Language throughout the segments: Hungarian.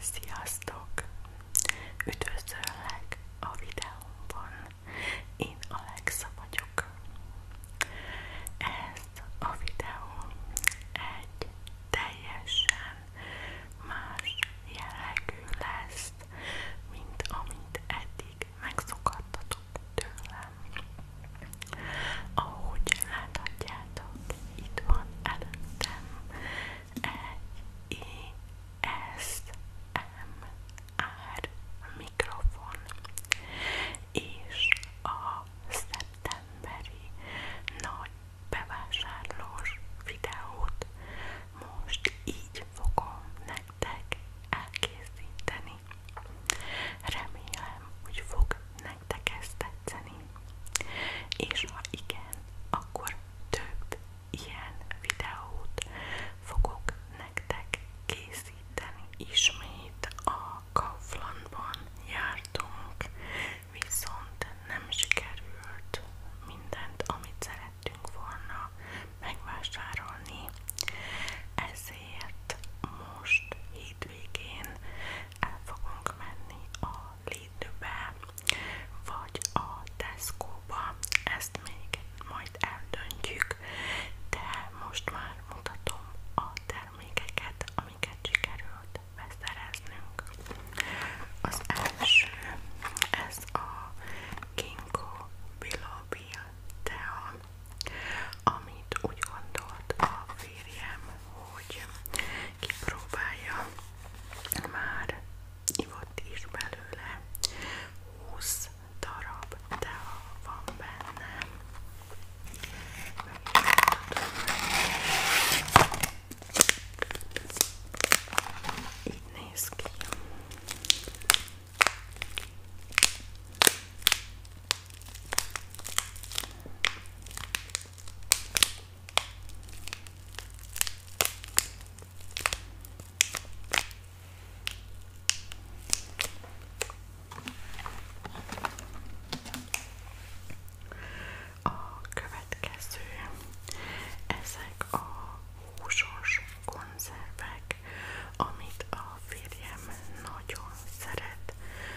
Sziasztok! Üdvözöllek a videómban. Én Alexa vagyok. Ez a videó egy teljesen más jellegű lesz, mint amit eddig megszokattatok tőlem. Ahogy láthatjátok, itt van előttem egy ISMR mikrofon, és a szeptemberi nagy bevásárlós videót most így fogom nektek elkészíteni. Remélem, hogy fog nektek ez tetszeni. És ha igen, akkor több ilyen videót fogok nektek készíteni. Ismét a Kauflandban jártunk, viszont nem sikerült mindent, amit szerettünk volna megvásárolni. Ezért most hétvégén el fogunk menni a Lidlbe, vagy a Tesco-ba, ezt még majd eldöntjük, de most már mutatom a termékeket, amiket sikerült beszereznünk. Az első, ez a Ginkgo Biloba tea, amit úgy gondolt a férjem, hogy kipróbálja, már ivott is belőle 20 darab, de ha van benne, így néz ki. A következő, ezek a húsos konzervek, amit a férjem nagyon szeret,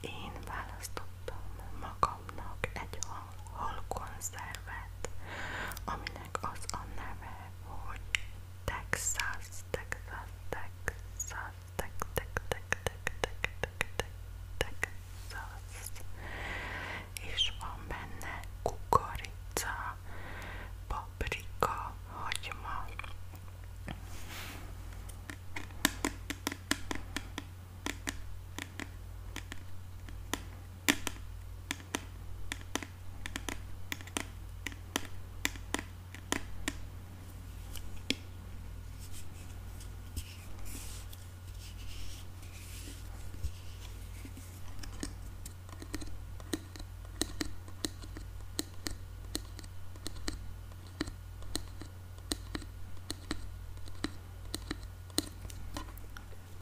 Én választottam magamnak egy hal, halkonzervet, aminek az a neve, hogy Texas, Texas, Texas, Texas, Texas, Texas, Texas, Texas. és van benne kukorica, paprika, hagyma.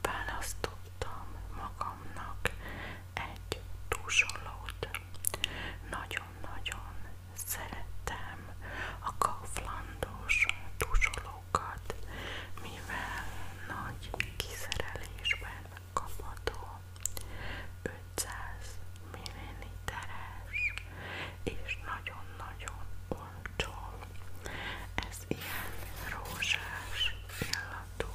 Választottam magamnak egy túlsolót. Nagyon-nagyon szeretem a kauflandos túlsolót magukat, mivel nagy kiszerelésben kapható 500 milliliteres és nagyon-nagyon olcsó. Ez ilyen rózsás illatú.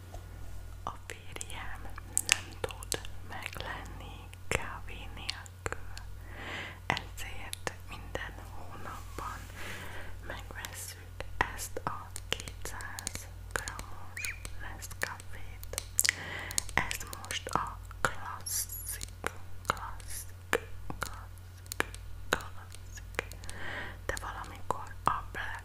A férjem nem tud meglenni kávé nélkül, ezért minden hónapban megveszünk ezt a 200 g-os Nescafét. Ez most a klasszik, klasszik, klasszik, klasszik, de valamikor a black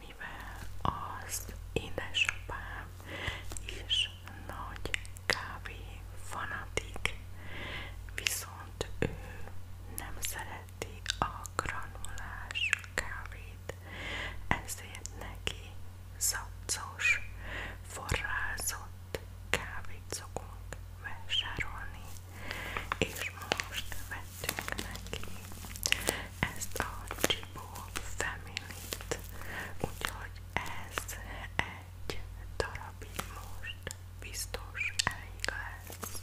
mivel az édesapám is nagy kávé fanatik, viszont ő nem szereti a granulás kávét, ezért neki szabcos, forrázott kávét szokunk vásárolni, és most vettünk neki ezt a Chibo Family-t, úgyhogy ez egy darabig most biztos elég lesz.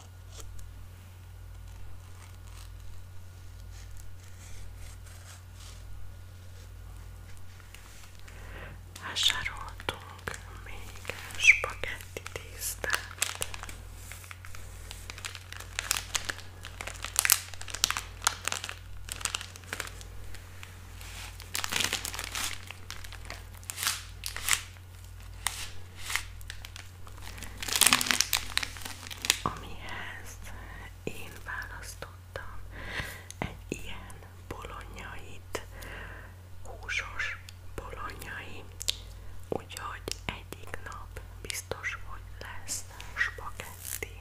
Vásároltunk még spagetti tésztát amihez én választottam egy ilyen bolonyait, húsos bolonyai, úgyhogy egyik nap biztos, hogy lesz spagetti.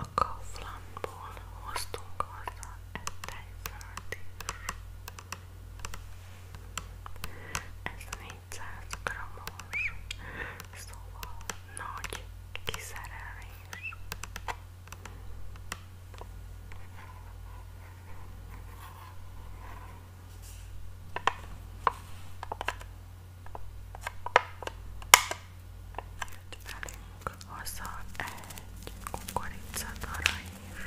A Kauflandból hoztunk haza egy tejföldi Ez 400 grammos, szóval nagy kiszerelés. Jött velünk haza egy kukoricadara is.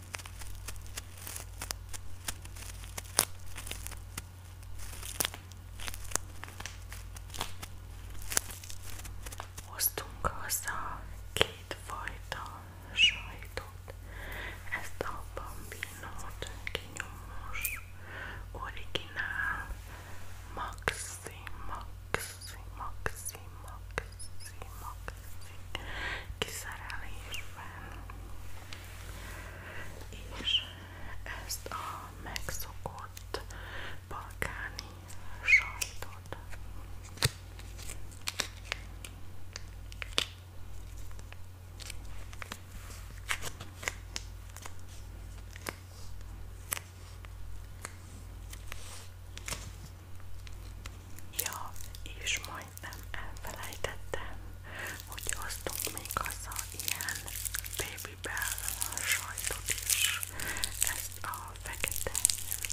Hoztunk haza két fajta sajtot, ezt a bambinót, kinyomós, originál, maxi, maxi, maxi, maxi, maxi, kiszerelésben. És ezt a megszokott balkáni sajtot. Ja, és ma majdnem elfelejtettem, hogy osztunk még haza ilyen Baby Bell sajtot is, ezt a fekete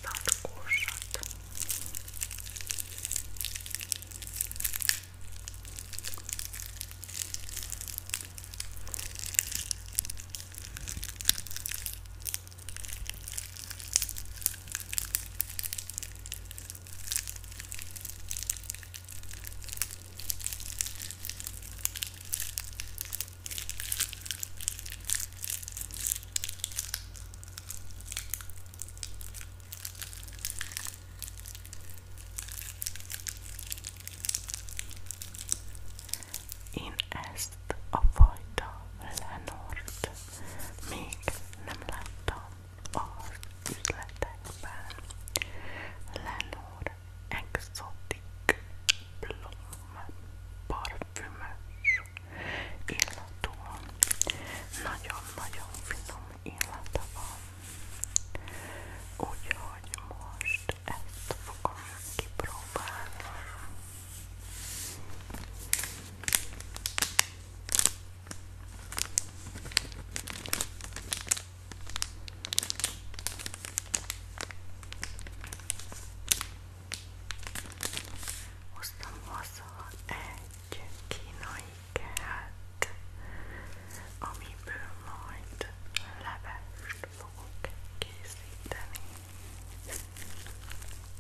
tartkósat. Én ezt a fajta Lenort még nem láttam az üzletekben Lenor Exotic Plum parfümös illatú nagyon-nagyon finom illata van úgyhogy most ezt fogom kipróbálni Hoztam haza egy kínai kelt, amiből majd levest fogok készíteni.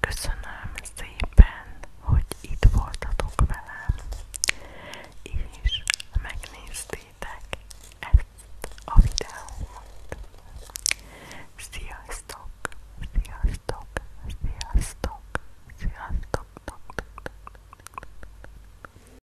Köszönöm szépen, hogy itt voltatok velem, és megnéztétek ezt a videót. Sziasztok! Sziasztok! Sziasztok! Sziasztok!